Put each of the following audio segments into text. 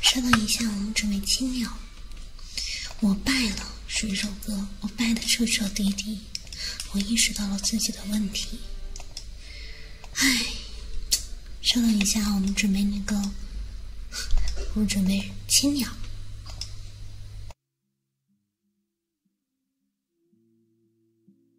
稍等一下，我们准备青鸟。我败了，选手哥，我败的彻彻底底。我意识到了自己的问题。唉，稍等一下，我们准备那个，我们准备青鸟。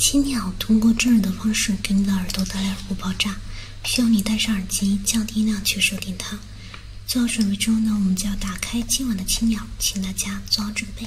青鸟通过真人的方式给你的耳朵带来耳部爆炸，需要你戴上耳机，降低音量去收听它。做好准备之后呢，我们就要打开今晚的青鸟，请大家做好准备。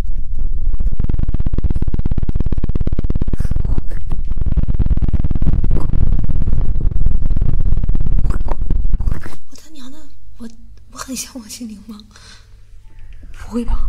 我他娘的，我我很像王心凌吗？不会吧？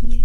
天，你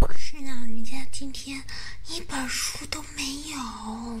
可是呢，人家今天一本书都没有。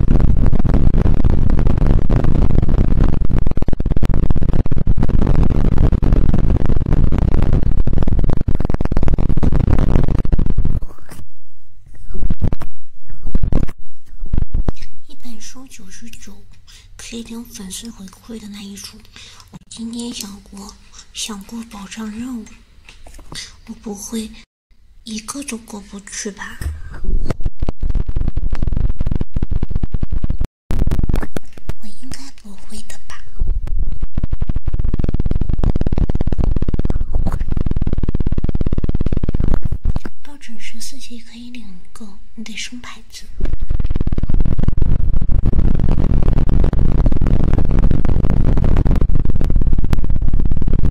一本书九十九，可以领粉丝回馈的那一种。我今天想过，想过保障任务，我不会。一个都过不去吧？我应该不会的吧？抱枕十四级可以领一个，你得升牌子。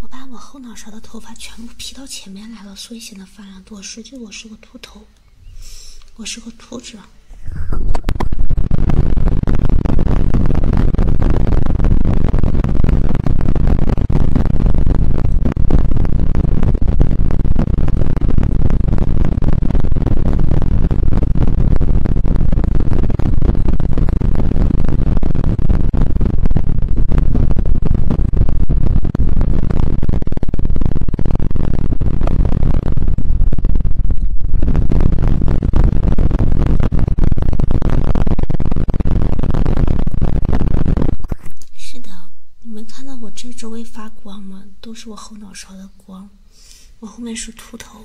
我把我后脑勺的头发全部披到前面来了，所以显得发量多。实际我是个秃头，我是个秃子。是的。你们看到我这周围发光吗？都是我后脑勺的光，我后面是秃头。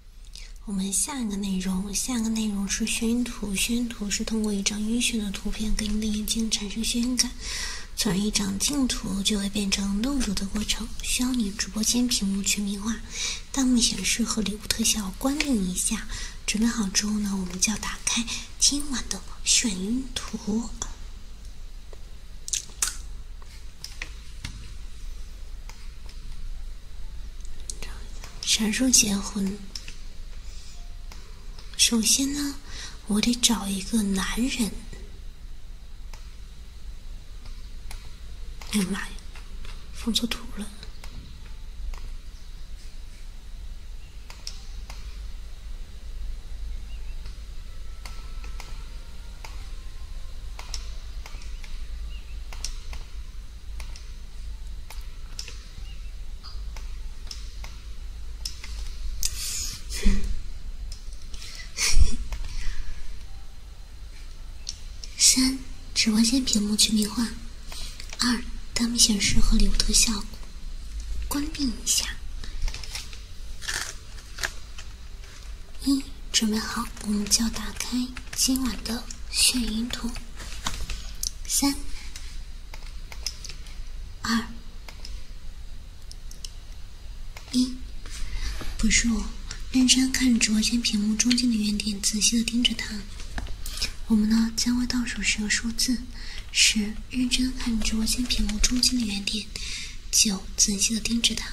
我们下一个内容，下一个内容是宣图。宣图是通过一张晕眩的图片给你的眼睛产生眩晕感，从而一张静图就会变成露乳的过程。需要你直播间屏幕全民化，弹幕显示和礼物特效关闭一下。准备好之后呢，我们就要打开今晚的晕图，啥时候结婚？首先呢，我得找一个男人。哎呀妈呀，放错图了。三，直播间屏幕全民化；二，大屏显示和流图效果。关闭一下。一，准备好，我们就打开。今晚的眩晕图，三、二、一，不是我，认真看着直播间屏幕中间的圆点，仔细的盯着它。我们呢，将会倒数十个数字，十，认真看着直播间屏幕中间的圆点，九，仔细的盯着它，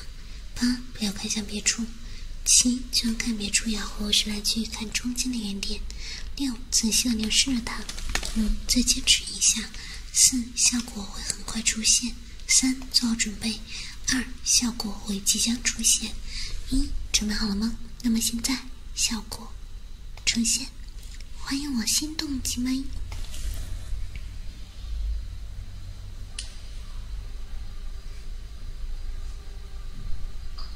八，不要看向别处，七，就算看别处也会回来继续看中间的圆点。六，仔细的凝视着它。五，再坚持一下。四，效果会很快出现。三，做好准备。二，效果会即将出现。一，准备好了吗？那么现在，效果呈现。欢迎我心动鸡美。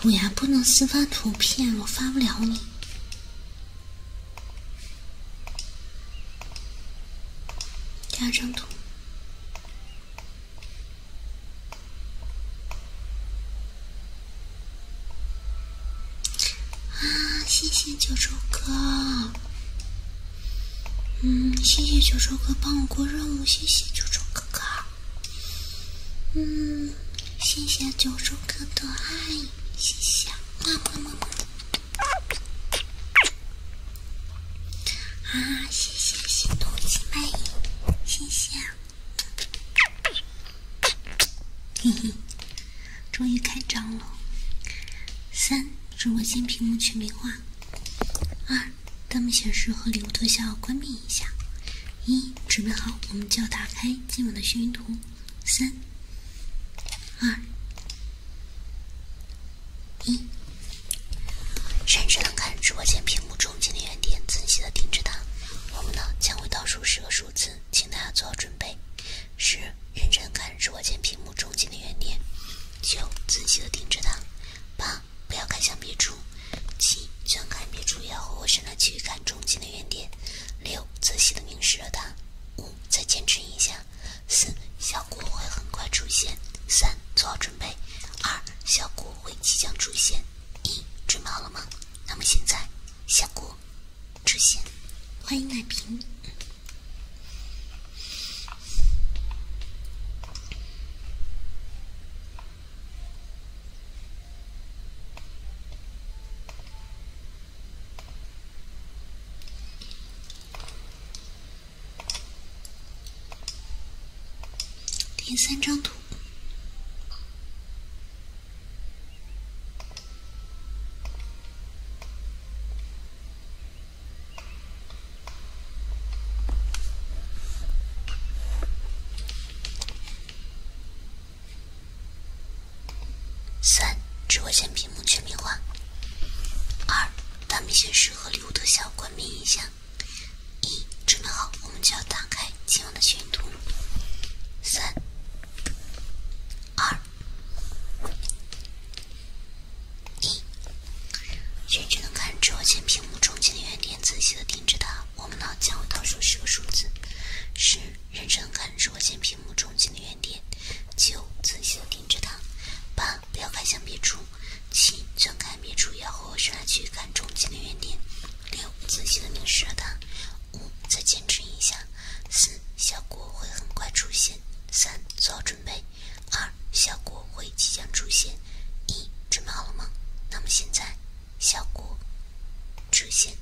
虎牙不能私发图片，我发不了你。第二张图啊，谢谢九州哥。嗯，谢谢九州哥帮我过任务，谢谢九州哥哥。嗯，谢谢九州哥的爱，谢谢，么么么么。啊，谢谢心动心满谢谢。嘿嘿，终于开张了，三。直播间屏幕全屏化。二，弹幕显示和礼物特效关闭一下。一，准备好，我们就要打开今晚的幸运图。三、二、一，认真的看直播间屏幕中间的圆点，仔细的盯着它。我们呢，将会倒数十个数字，请大家做好准备。十，认真看直播间屏幕中间的圆点。九，仔细的盯着它。八，不要看向别处。七，转开别处，要和我伸的去看中间的圆点。六，仔细的凝视着它。五，再坚持一下。四，效果会很快出现。三，做好准备。二，效果会即将出现。一，准备好了吗？那么现在，效果出现。欢迎奶瓶。第三张图。三，直播间屏幕全屏化。二，大明显示和礼物特效关闭一下。一，准备好，我们就要打开今晚的全图。三，二。一，认真地看着我前屏幕中间的圆点，仔细的盯着它。我们脑间会倒数十个数字。十，认真地看着我前屏幕中间的圆点。九，仔细的盯着它。八，不要看向别处。七，转看别处要后，仍然去看中间的圆点。六，仔细的凝视着它。五，再坚持一下。四，效果会很快出现。三，做好准。准备二，效果会即将出现。一，准备好了吗？那么现在，效果出现。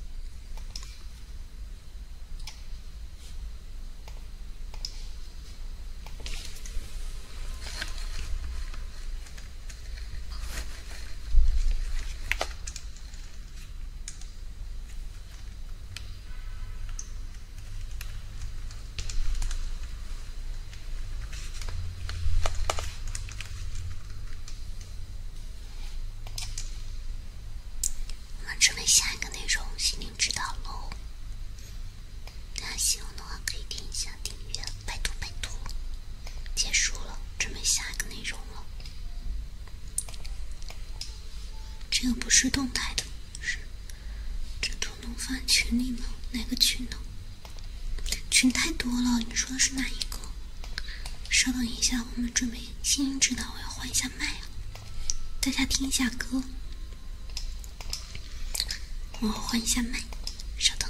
我们准备下一个内容心灵指导喽。大家喜欢的话可以听一下订阅，拜托拜托。结束了，准备下一个内容了。这个不是动态的，是这图。能发群里吗？哪个群呢？群太多了，你说的是哪一个？稍等一下，我们准备新人指导，我要换一下麦啊！大家听一下歌，我换一下麦，稍等。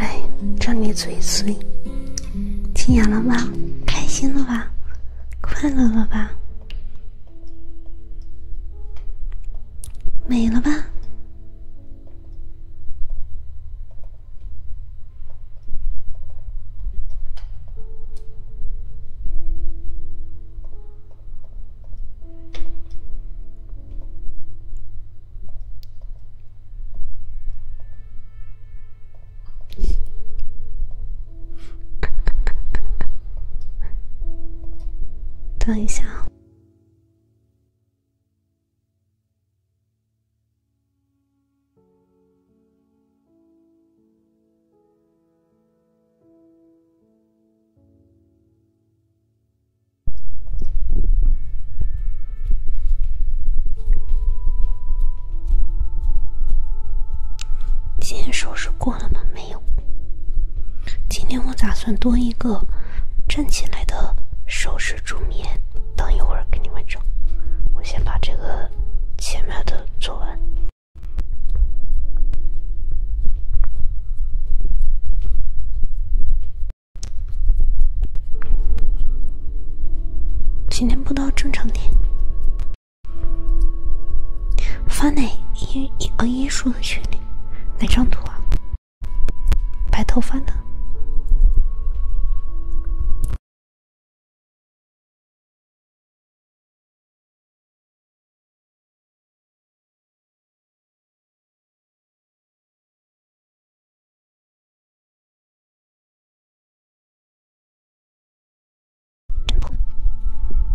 哎，张你嘴碎，惊讶了吧？开心了吧？快乐了吧？没了吧。等一下啊！今天收拾过了吗？没。没有，今天我打算多一个站起来的手势助眠，等一会儿给你们整。我先把这个前面的做完。今天播到正常点。发 u n n y 艺术的群里，哪张图啊？白头发的。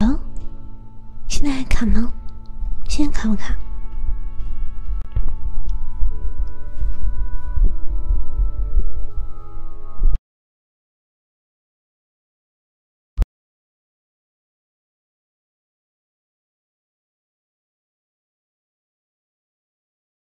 哦，现在还卡吗？现在卡不卡？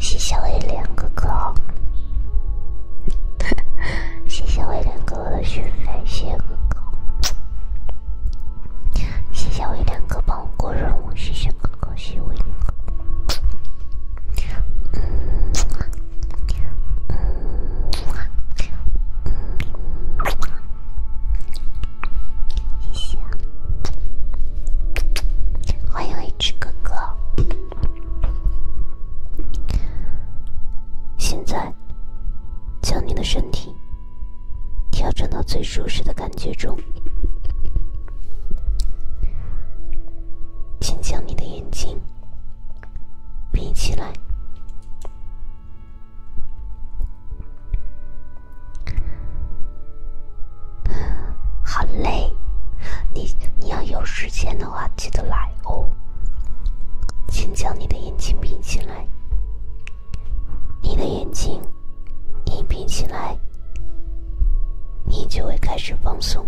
谢谢威廉哥哥，谢谢威廉哥哥的续费，谢谢哥哥。谢谢我一亮哥帮我过任务，谢谢哥哥，谢谢我一个。嗯，嗯，嗯，谢谢，欢迎 H 哥哥。现在将你的身体。调整到最舒适的感觉中，请将你的眼睛闭起来。好嘞，你你要有时间的话记得来哦。请将你的眼睛闭起来。你的眼睛，你闭起来，你就会开始放松。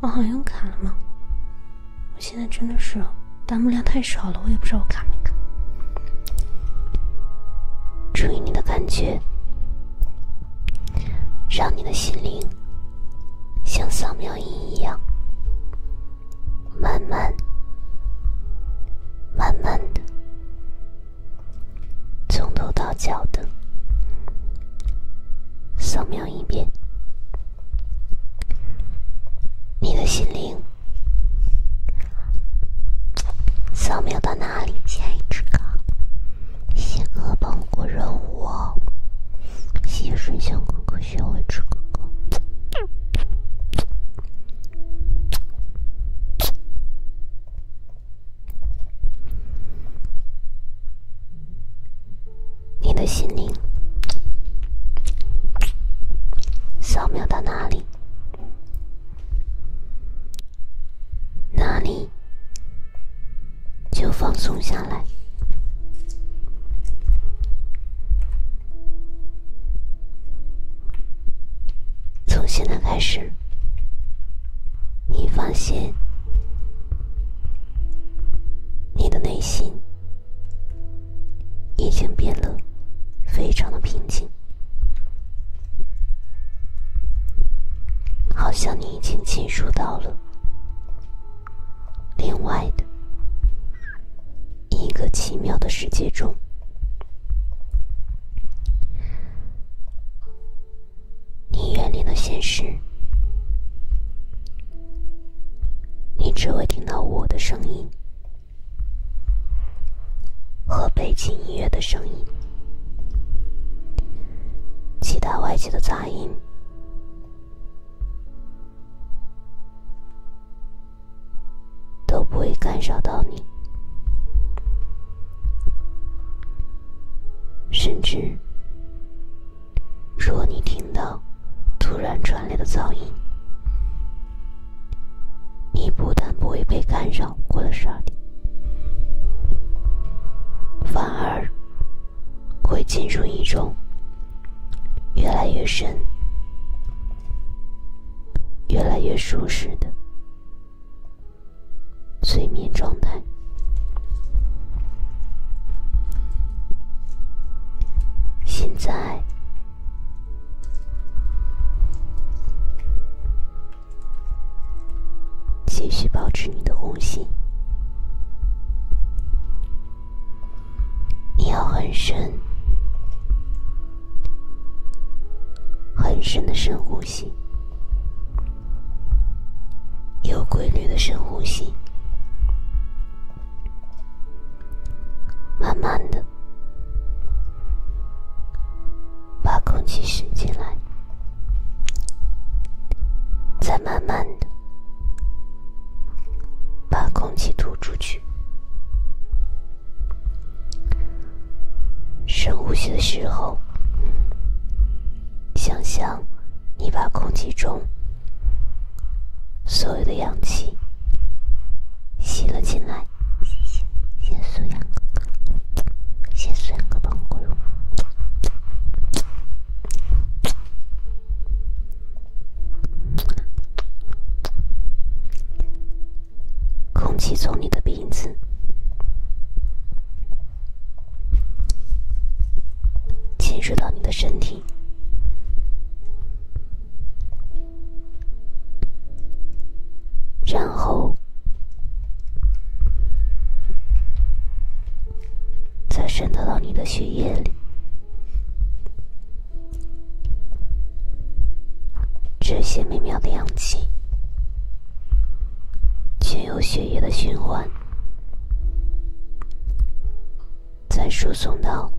我好像卡了吗？我现在真的是弹幕量太少了，我也不知道我卡没卡。注意你的感觉，让你的心灵像扫描仪一样。慢慢、慢慢的，从头到脚的扫描一遍你的心灵。扫描到哪里？小一只狗，西哥帮过任务哦，谢水乡哥哥学会吃哥哥。你的心灵，扫描到哪里，哪里就放松下来。从现在开始，你发现你的内心已经变得非常的平静，好像你已经进入到了另外的。一个奇妙的世界中，你远离了现实，你只会听到我的声音和背景音乐的声音，其他外界的杂音。都不会干扰到你，甚至，若你听到突然传来的噪音，你不但不会被干扰过了十二点，反而会进入一种越来越深。越来越舒适的睡眠状态，现在继续保持你的呼吸，你要很深。很深的深呼吸，有规律的深呼吸，慢慢的把空气吸进来，再慢慢的把空气吐出去。深呼吸的时候，想象你把空气中所有的氧气吸了进来。谢谢，先苏阳先帮个过友。空气从你的鼻子进入到你的身体，然后再渗透到你的血液里。这些美妙的氧气，经由血液的循环，再输送到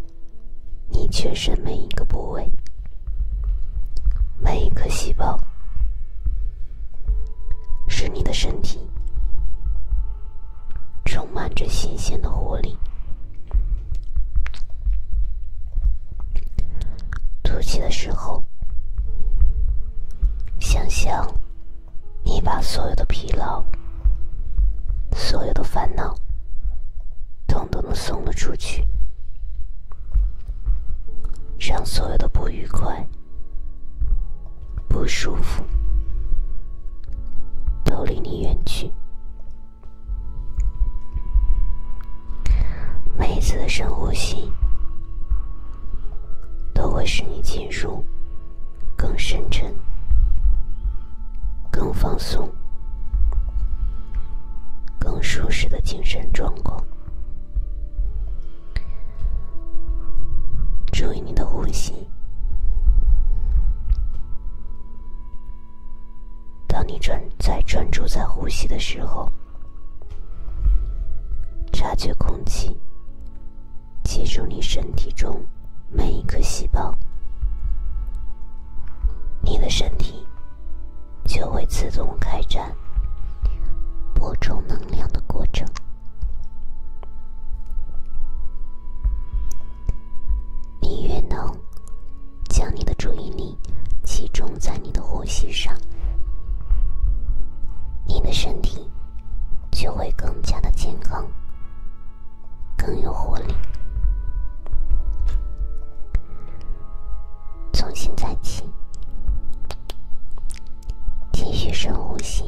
你全身每一个部位、每一个细胞，使你的身体充满着新鲜的活力。吐气的时候，想象你把所有的疲劳、所有的烦恼，统统的送了出去，让所有的不愉快、不舒服都离你远去。每一次的深呼吸，都会使你进入更深沉、更放松、更舒适的精神状况。注意你的呼吸。当你专在专注在呼吸的时候，察觉空气，记住你身体中每一个细胞，你的身体就会自动开展补充能量的过程。你越能。将你的注意力集中在你的呼吸上，你的身体就会更加的健康，更有活力。从现在起，继续深呼吸，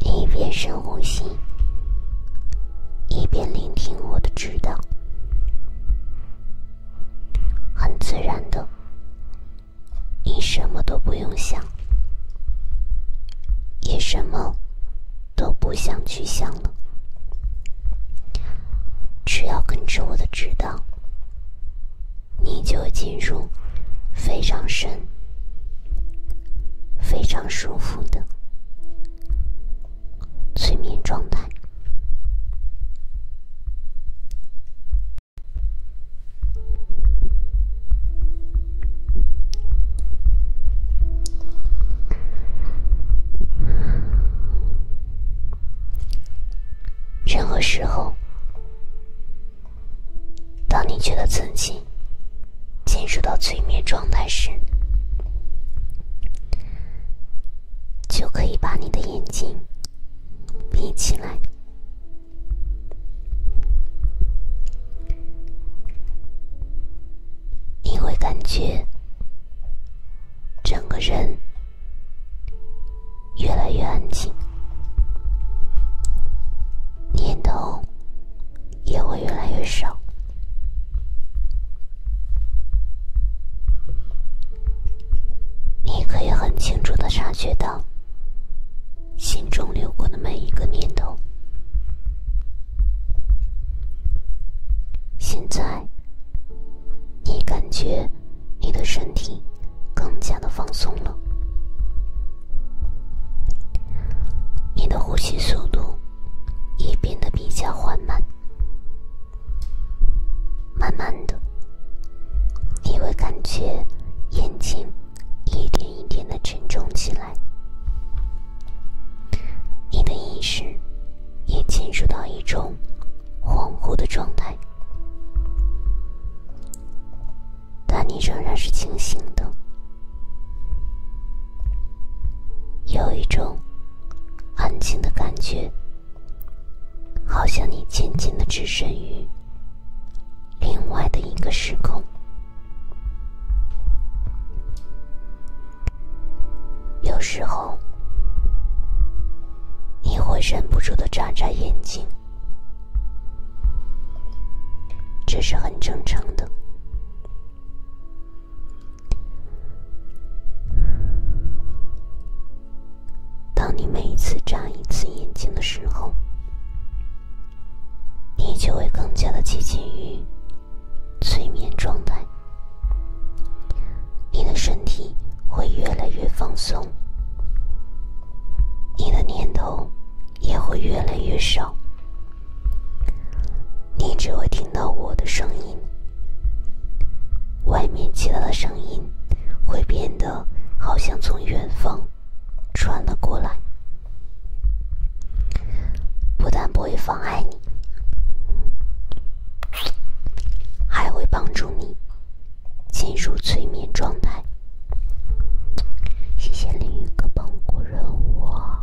一边深呼吸，一边聆听我的指导。很自然的，你什么都不用想，也什么都不想去想了。只要跟着我的指导，你就进入非常深、非常舒服的。催眠状态。任何时候，当你觉得自己进入到催眠状态时，就可以把你的眼睛闭起来，你会感觉整个人越来越安静，念头也会越来越少。你可以很清楚的察觉到，心中流过的每一个念头。现在，你感觉你的身体更加的放松了，你的呼吸速度。也变得比较缓慢，慢慢的，你会感觉眼睛一点一点的沉重起来，你的意识也进入到一种恍惚的状态，但你仍然是清醒的，有一种。安静的感觉，好像你渐渐的置身于另外的一个时空。有时候，你会忍不住的眨眨眼睛，这是很正常的。当你每一次眨一次眼睛的时候，你就会更加的接近于催眠状态。你的身体会越来越放松，你的念头也会越来越少，你只会听到我的声音。外面其他的声音会变得好像从远方传了过来，不但不会妨碍你，还会帮助你进入催眠状态。谢谢另雨哥帮过我。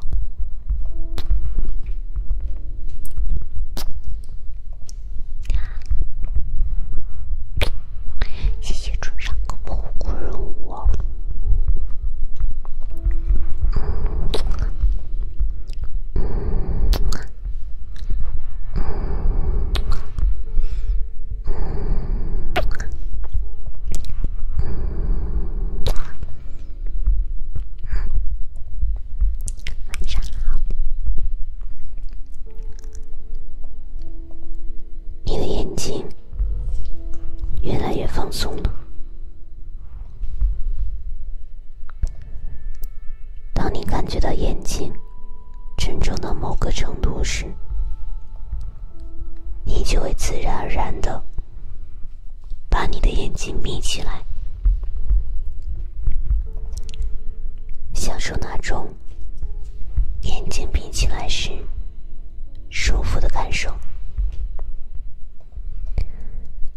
谢谢春上哥保护任务。晚上好，你的眼睛越来越放松了。当你感觉到眼睛沉重到某个程度时，你就会自然而然的把你的眼睛闭起来。享受那种眼睛闭起来时舒服的感受，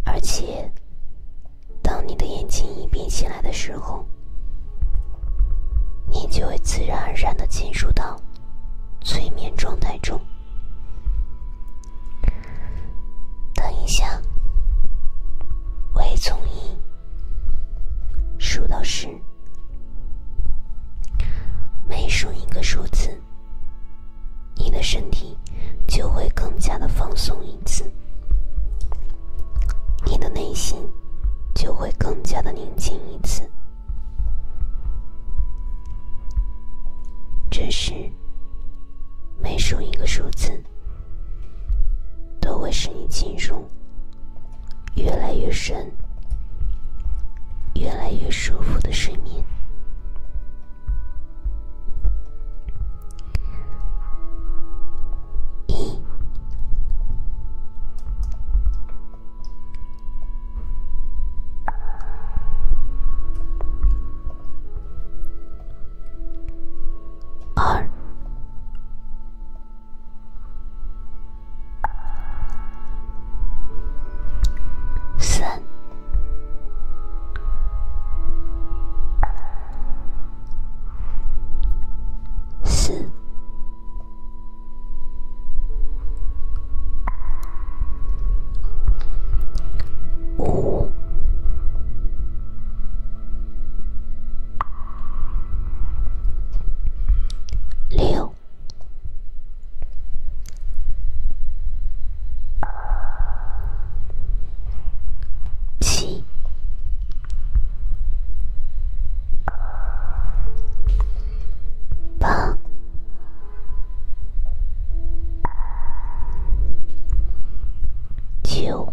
而且当你的眼睛一闭起来的时候，你就会自然而然的进入到催眠状态中。等一下，我也从一数到十，每数一个数字，你的身体就会更加的放松一次，你的内心就会更加的宁静一次。这时，每数一个数字。都会使你进入越来越深、越来越舒服的睡眠。二、三、四、五。六、七、八、九。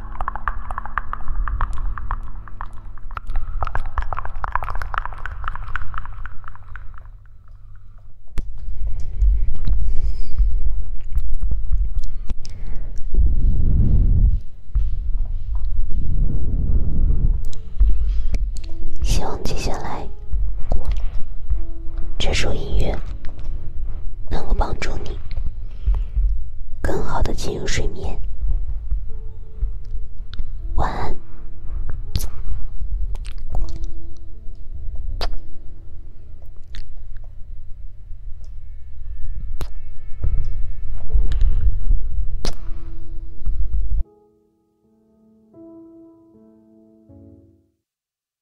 希望接下来这首音乐能够帮助你。更好的进入睡眠，晚安。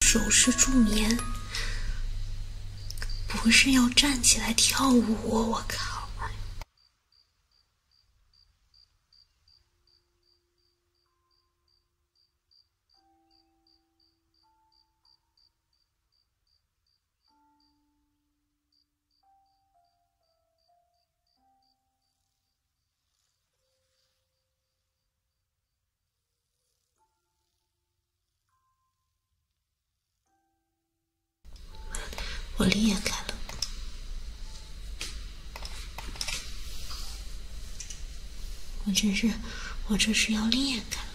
手势助眠。不是要站起来跳舞，我靠！我裂开了！我这是，我这是要裂开了！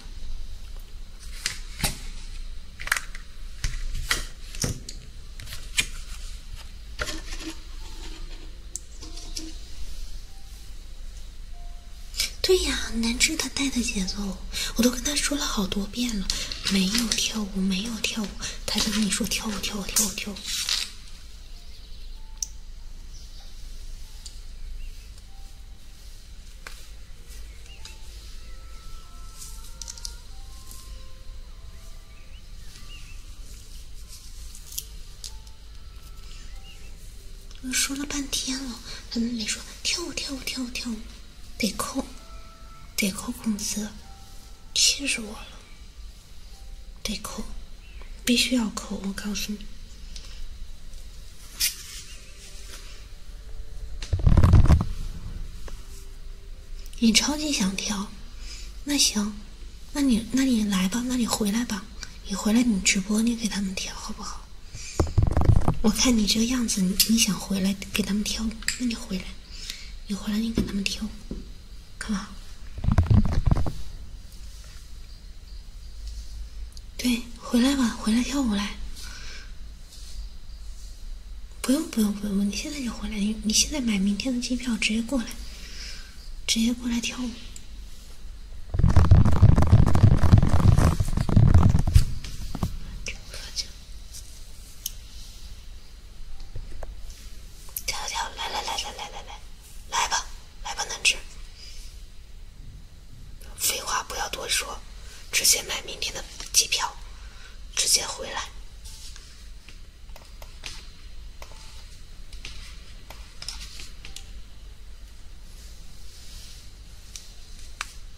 对呀，南志他带的节奏，我都跟他说了好多遍了，没有跳舞，没有跳舞，他就跟你说跳舞，跳舞，跳舞，跳舞。我说了半天了，他都没说跳舞，跳舞，跳舞，跳舞。得扣，得扣工资，气死我了！得扣，必须要扣！我告诉你，你超级想调，那行，那你那你来吧，那你回来吧，你回来你直播你给他们调好不好？我看你这个样子，你你想回来给他们跳舞，那你回来，你回来，你给他们跳舞，干嘛？对，回来吧，回来跳舞来。不用，不用，不用，你现在就回来，你你现在买明天的机票，直接过来，直接过来跳舞。跳跳，来来来来来来来，来吧，来吧，南侄。废话不要多说，直接买明天的机票，直接回来。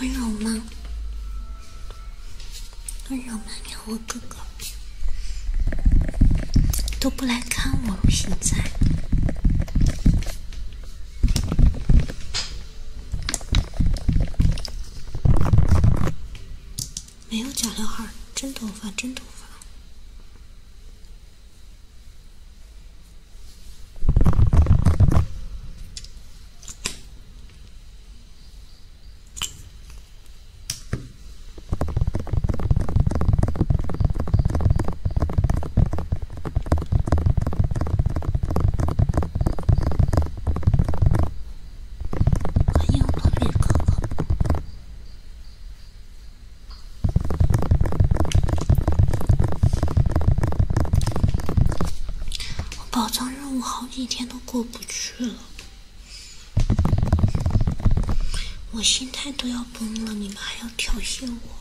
温柔吗？温柔吗？你和哥哥都不来看我了，现在。没有假刘海，真头发，真头发。欢迎破灭哥哥！我宝藏任务好几天都过不去了，我心态都要崩了，你们还要挑衅我？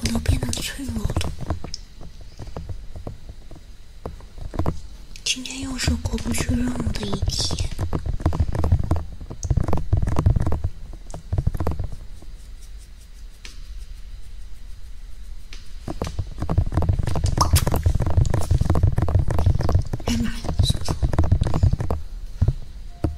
我都变得脆弱了，今天又是过不去任务的一天。哎妈！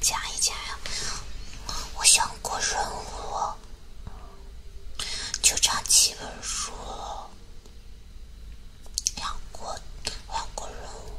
加一加呀！我想过任务，就差七本书了，两过两过任务。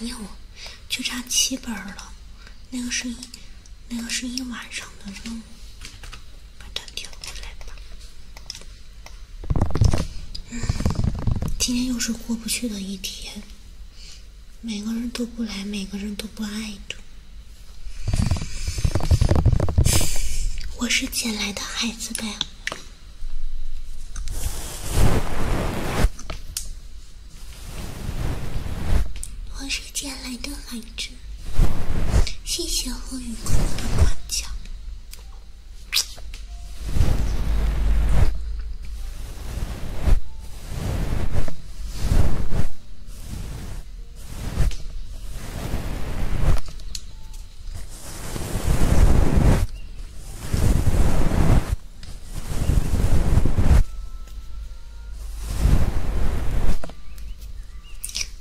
没有，就差七本了。那个是一，那个是一晚上的任务，把它调过来吧。嗯，今天又是过不去的一天。每个人都不来，每个人都不爱的。我是捡来的孩子呗。我是捡来的海蜇，谢谢我雨空的夸奖。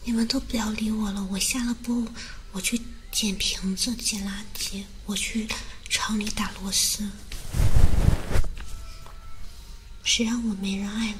你们都不要理我了，我下了播，我去捡瓶子、捡垃圾，我去厂里打螺丝。谁让我没人爱了？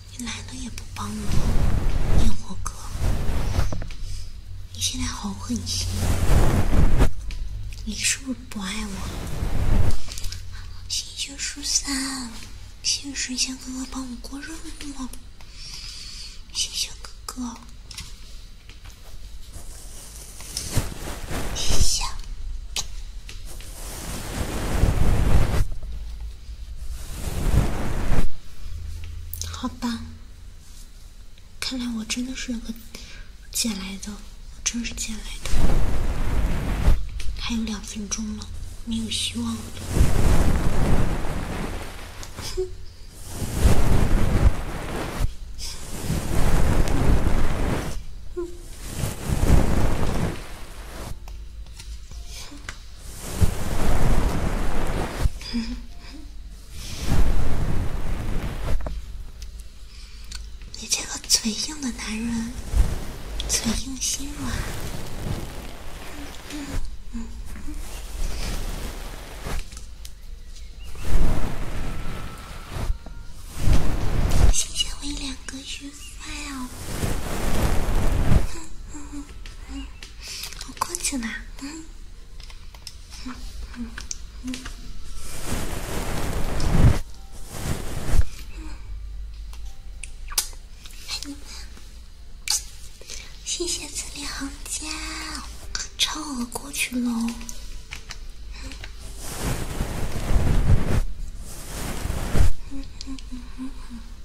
你来了也不帮我，烟火哥，你现在好狠心，你是不是不爱我？了？星血十三，谢谢神仙哥哥帮我过这么多，谢谢哥哥，谢谢。好吧，看来我真的是个捡来的，真是捡来的。还有两分钟了，没有希望了。哼。你这个嘴硬的男人，嘴硬心软。嗯嗯嗯谢谢我两个月。哎呦，我过去了，嗯嗯嗯嗯，谢谢超额过去喽，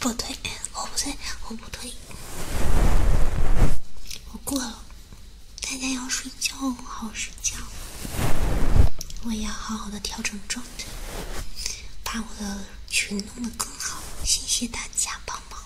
不对，我不对，我不对，我过了。大家要睡觉，好好睡觉。我也要好好的调整状态，把我的群弄得更好。谢谢大家帮忙。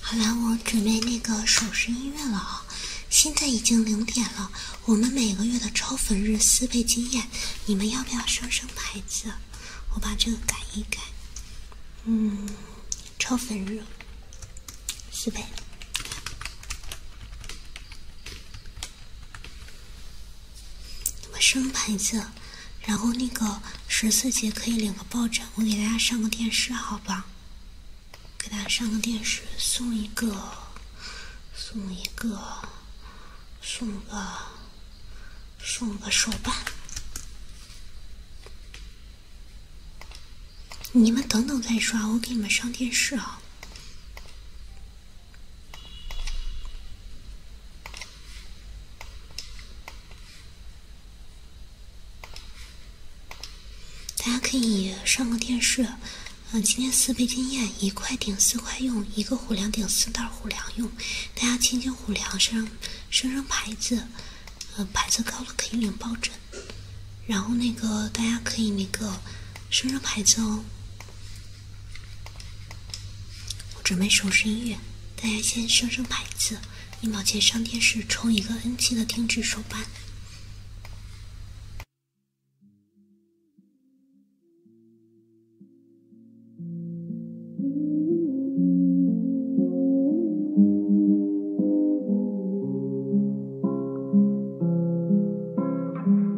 好了，我准备那个手势音乐了啊！现在已经零点了，我们每个月的超粉日四倍经验，你们要不要升升牌子？我把这个改一改。嗯，超粉日四倍。我们升牌子，然后那个十四节可以领个抱枕。我给大家上个电视，好吧？给大家上个电视，送一个，送一个，送个，送个手办。你们等等再刷，我给你们上电视啊。大家可以上个电视，嗯，今天四倍经验，一块顶四块用，一个虎粮顶四袋虎粮用。大家轻轻虎粮升升升牌子，嗯，牌子高了可以领抱枕。然后那个大家可以那个升升牌子哦。我准备收拾音乐，大家先升升牌子。一毛钱上电视，充一个 N 七的定制手办。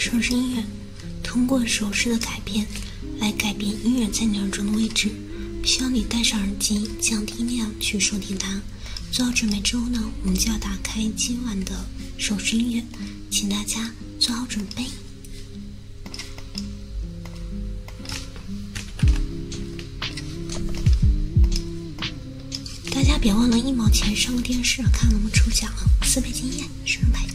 手势音乐，通过手势的改变，来改变音乐在鸟中的位置。需要你戴上耳机，降低音量去收听它。做好准备之后呢，我们就要打开今晚的手机音乐，请大家做好准备。大家别忘了，一毛钱上个电视看我们抽奖啊！四倍经验，什么牌子？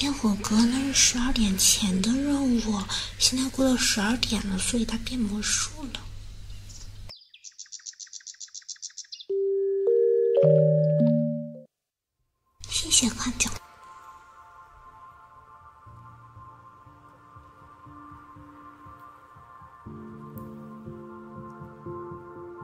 烟火哥那是十二点前的任务，现在过到十二点了，所以他变魔术了。谢谢夸奖。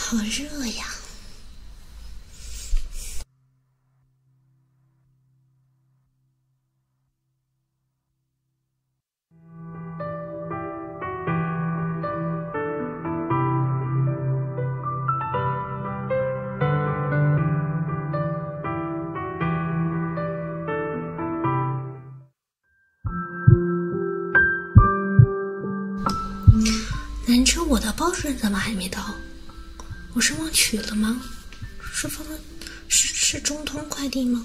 好热呀！南车，我的包主怎么还没到？我是忘取了吗？是发的？是是中通快递吗？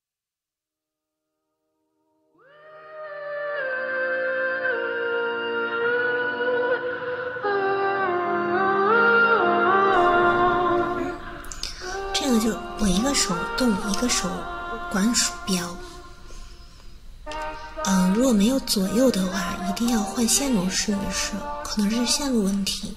这个就我一个手动，一个手管鼠标。嗯，如果没有左右的话，一定要换线路试一试，可能是线路问题。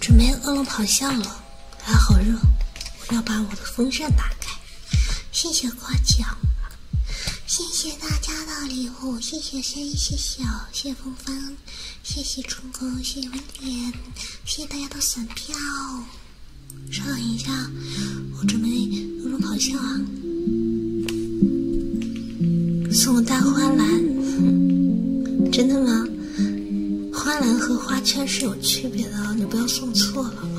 准备恶龙咆哮了，还好热，我要把我的风扇打开。谢谢夸奖，谢谢大家的礼物，谢谢森，谢谢谢风帆，谢谢春哥，谢谢威廉，谢谢大家的粉票。稍等一下，我准备恶龙咆哮。啊。送我大花篮，真的吗？花篮和花圈是有区别的，你不要送错了啊！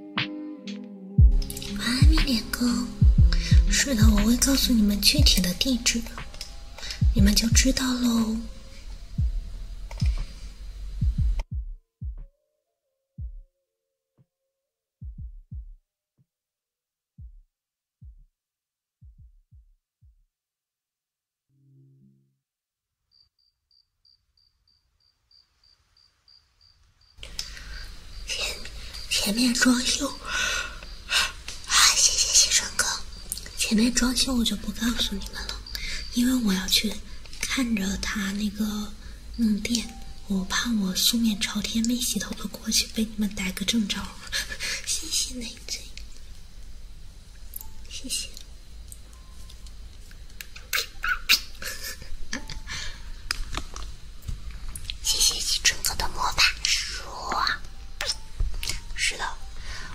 晚安，迷恋哥。是的，我会告诉你们具体的地址，你们就知道喽。前前面装修啊，谢谢西川哥。前面装修我就不告诉你们了，因为我要去看着他那个弄店，我怕我素面朝天、没洗头的过去被你们逮个正着。谢谢内贼，谢谢。谢谢青春哥的魔法书。是的，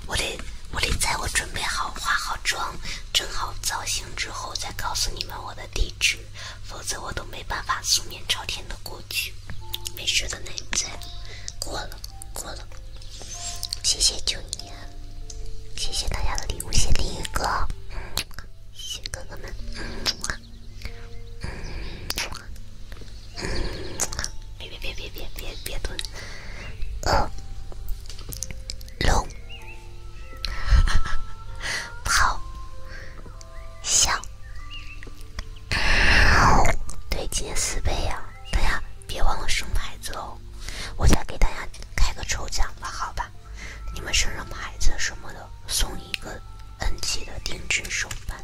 我得我得在我准备好、化好妆、整好造型之后再告诉你们我的地址，否则我都没办法素面朝天的过去。没事的，奶奶，过了过了。谢谢九爷，谢谢大家的礼物，谢林宇哥，谢谢哥哥们。别别别别别别蹲！呃，龙跑，笑对，今年四倍呀，大家别忘了生孩子哦！我再给大家开个抽奖吧，好吧？你们身上牌子什么的，送一个 NG 的定制手办。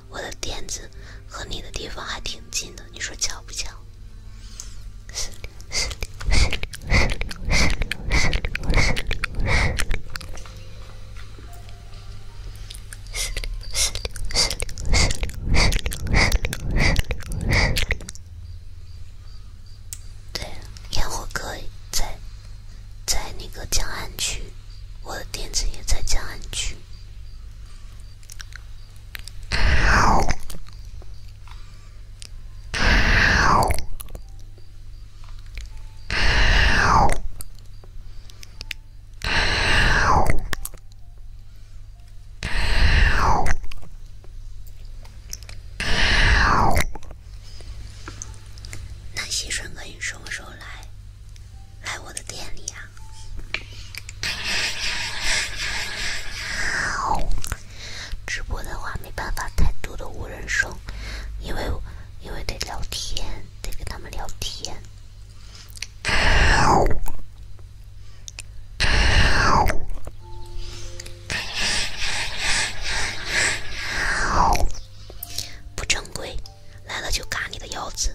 我的垫子和你的地方还挺近的你说巧不巧对烟火可以在在那个江岸区，我的店子也在江岸区。那西川哥，你什么时候来？来我的店里啊！直播的话没办法太多的无人声，因为因为得聊天，得跟他们聊天，不正规。来了就嘎你的腰子。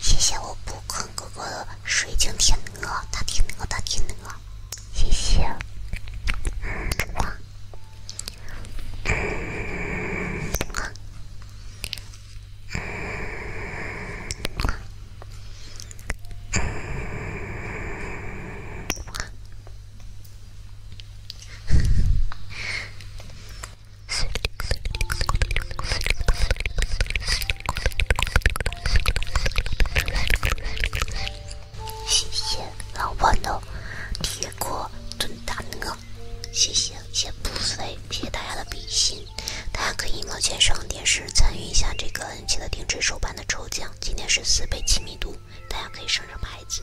谢谢我不坑哥哥的水晶天鹅，大天鹅，大天鹅，谢谢。谢谢老豌豆铁锅炖大鹅，谢谢谢谢不飞，谢谢大家的比心，大家可以往前上电视参与一下这个。本期的定制手办的抽奖，今天是四倍亲密度，大家可以升升牌子。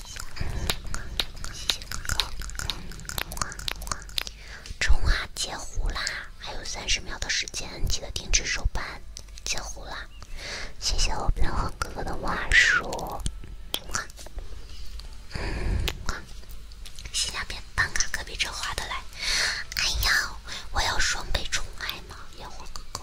哇哇哇！冲啊！截胡啦！还有三十秒的时间，记得停止手办。截胡啦！谢谢我烟火哥哥的挖数。哇哇！性价比办卡可比这划得来。哎呀，我要双倍宠爱吗？烟火哥哥。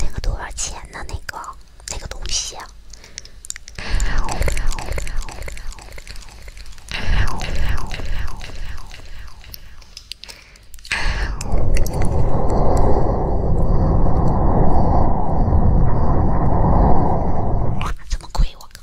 那个多少钱呢？那个那个东西啊！哇，这么贵！我靠！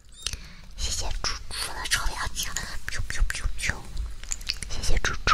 谢谢猪猪的臭氧气，谢谢猪猪。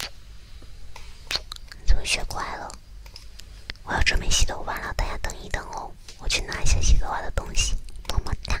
怎么学乖了？我要准备洗头发了，大家等一等哦，我去拿一下洗头发的东西，么么哒。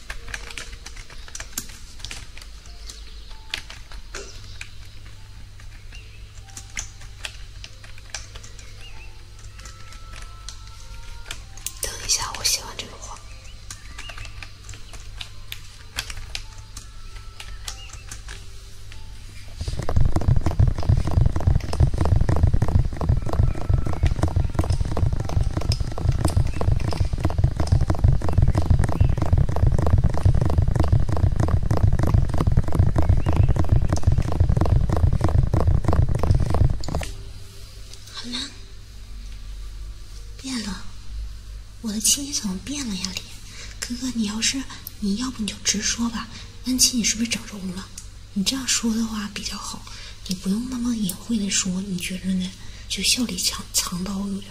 等一下，我写完这个话。好了，变了，我的亲亲怎么变了呀？李哥哥，你要是你要不你就直说吧，恩琪你是不是整容了？你这样说的话比较好，你不用那么隐晦的说，你觉着呢？就笑里藏藏刀，有点。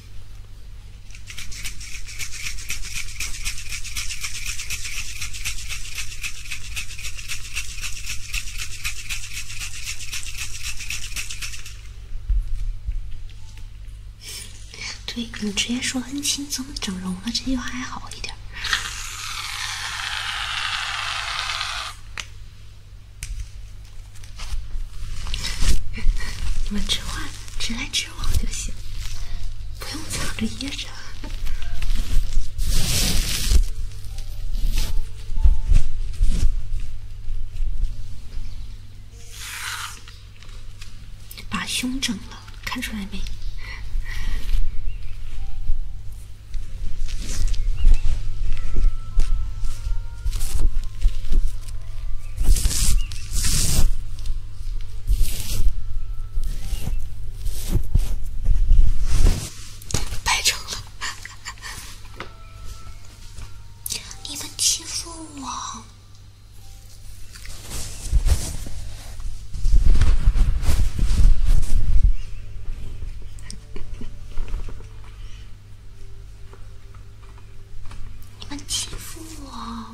对你直接说很轻松，整容了，这句话还好一点。你们直话直来直往就行，不用藏着掖着。把胸整了，看出来没？拍成了，你们欺负我。你们欺负我！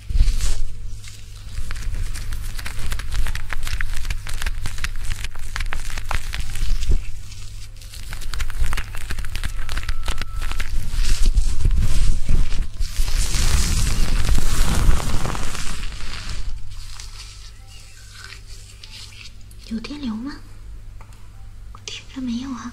有电流吗？听着没有啊？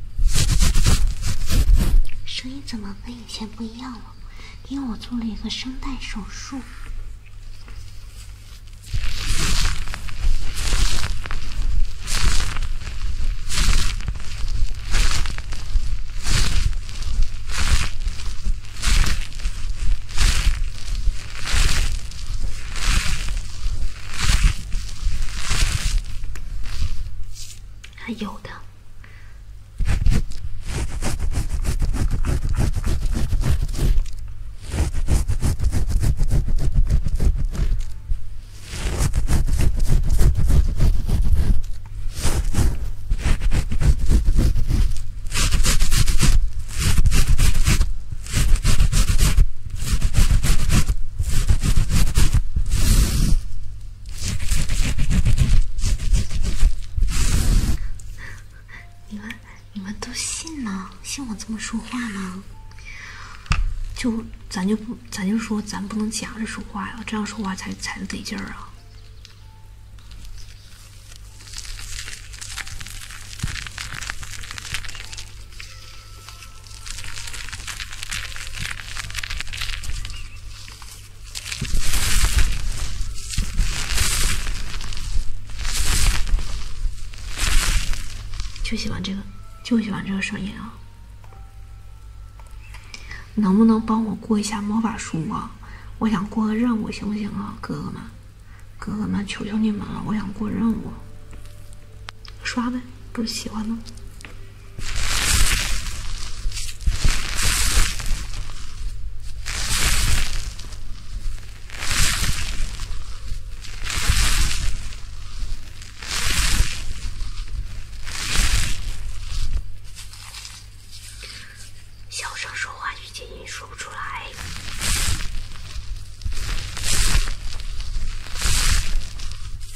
声音怎么跟以前不一样了？因为我做了一个声带手术。还有的。你们，你们都信吗？信我这么说话吗？就，咱就不，咱就说，咱不能夹着说话呀，这样说话才才得劲儿啊。就喜欢这个，就喜欢这个声音啊！能不能帮我过一下魔法书啊？我想过个任务，行不行啊，哥哥们？哥哥们，求求你们了，我想过任务。刷呗，不喜欢吗？小声说话，语音说不出来。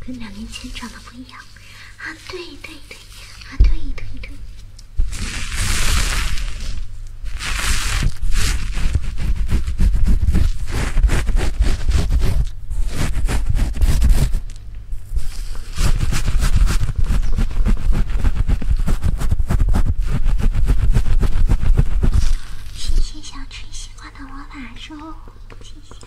跟两年前长得不一样啊！对对对，啊对对对。谢谢小吃西瓜的魔法书，谢谢。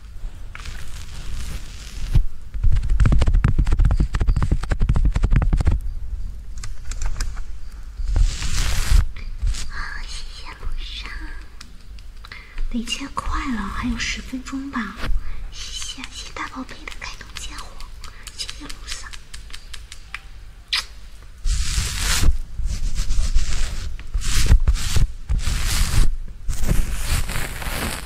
好，谢谢路上。得切快了，还有十分钟吧。谢谢，谢大宝贝的开通加火，谢谢路上。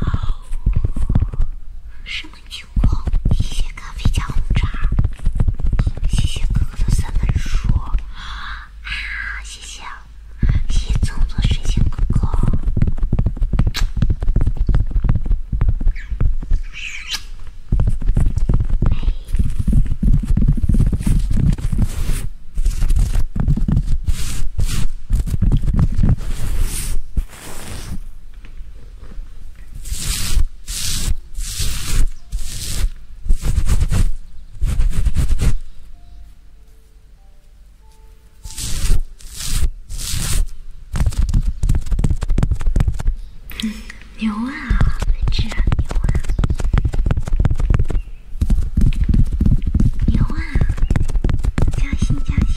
哦，什么情况？谢谢咖啡加红茶，谢谢哥哥的三本书。啊啊！谢谢，谢谢，粽子水晶哥哥。牛啊，文治牛啊，牛啊，加薪加薪。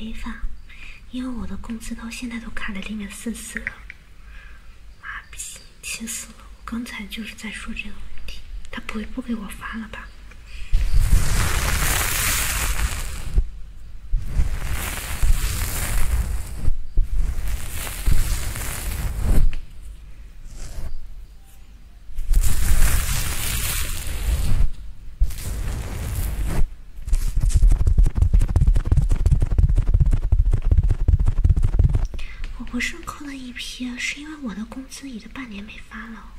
没法，因为我的工资到现在都卡在零点四四了。妈逼，气死了！我刚才就是在说这个问题，他不会不给我发了吧？我不是扣了一批，是因为我的工资已经半年没发了。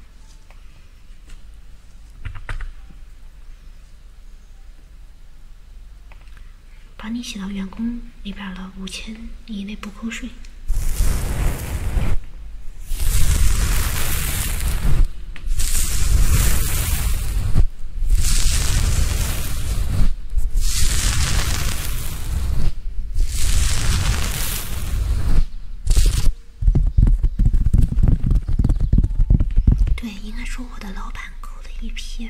把你写到员工里边了，五千以内不扣税。对，应该说我的老板抠的一批。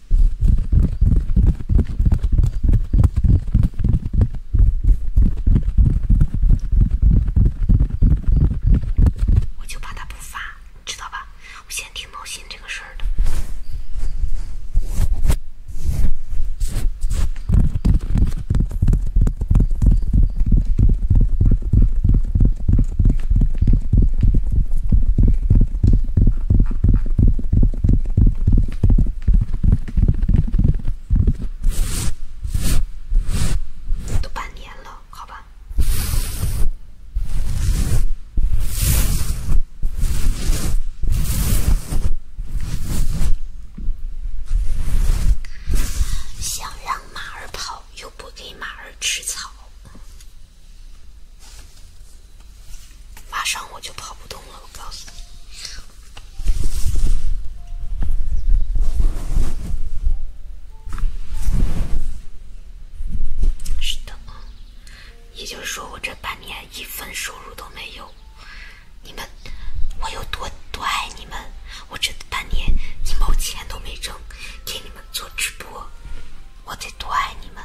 我就怕他不发，你知道吧？我现在挺闹心这个事儿的。都半年了，好吧。想让马儿跑，又不给马儿吃草。马上我就跑不动了，我告诉你。是的，也就是说我这半年一分收入都没有。你们，我有多多爱你们？我这半年一毛钱都没挣，给你们做直播，我得多爱你们。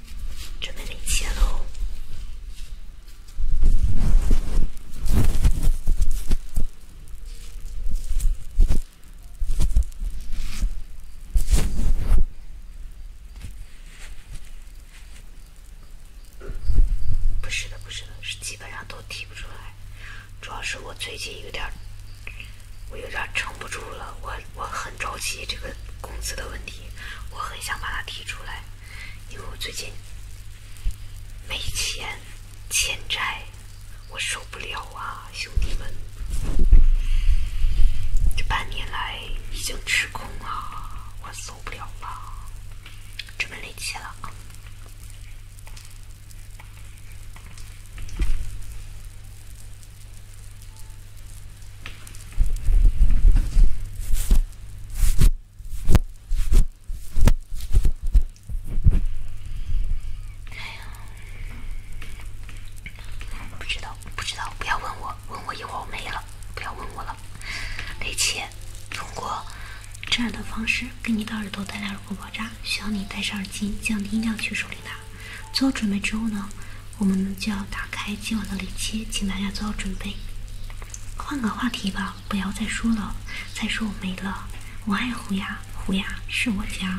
准备领钱喽！不是的，不是的，是基本上都提不出来。主要是我最近有点，我有点撑不住了，我我很着急这个工资的问题。我很想把它提出来，因为我最近没钱，欠债，我受不了啊，兄弟们，这半年来已经吃空了，我受不了了，准备离奇了啊。哎呀，不知道，不知道，不要问我，问我一会儿我没了，不要问我了。而且通过这样的方式给你的耳朵带来耳骨爆炸，需要你戴上耳机，降低音量去处理它。做好准备之后呢？我们就要打开今晚的雷切，请大家做好准备。换个话题吧，不要再说了。再说我没了，我爱胡牙，胡牙是我家。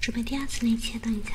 准备第二次，你切等一下。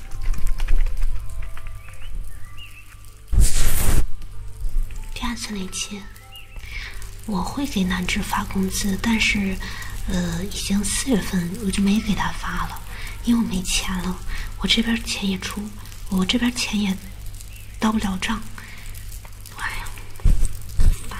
第二次那期我会给南志发工资，但是，呃，已经四月份我就没给他发了，因为我没钱了，我这边钱也出，我这边钱也到不了账，哎呀，烦。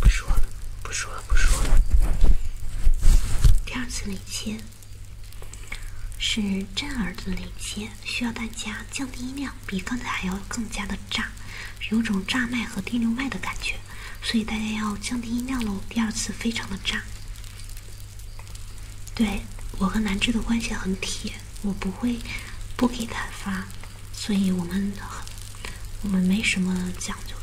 不说了，不说了，不说了。第二次雷切是震耳的雷切，需要大家降低音量，比刚才还要更加的炸。有种炸麦和电流麦的感觉，所以大家要降低音量喽。第二次非常的炸。对，我和南志的关系很铁，我不会不给他发，所以我们很我们没什么讲究的。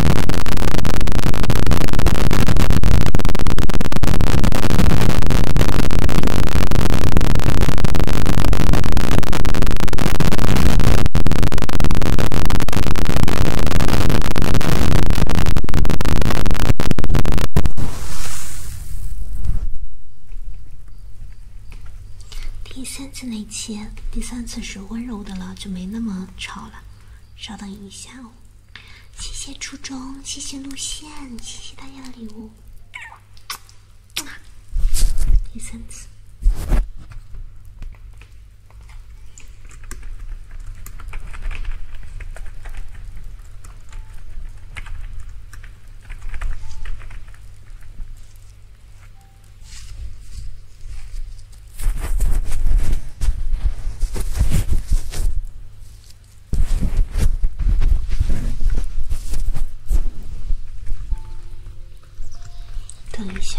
第三次那期第三次是温柔的了，就没那么吵了。稍等一下哦。谢谢初中，谢谢路线，谢谢大家的礼物。第三次。等一下。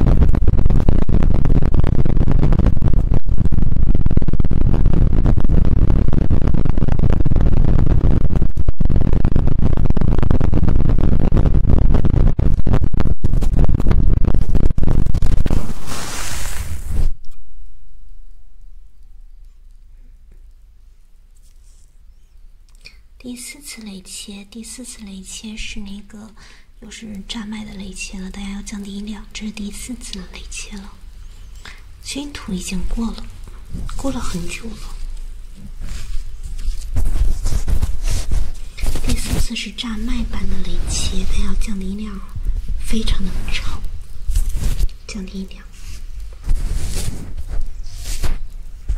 第四次雷切，第四次雷切是那个。又是炸麦的雷切了，大家要降低音量。这是第四次雷切了，军图已经过了，过了很久了。第四次是炸麦版的雷切，家要降低音量，非常的吵，降低音量。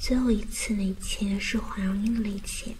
最后一次雷切是黄蓉英的切。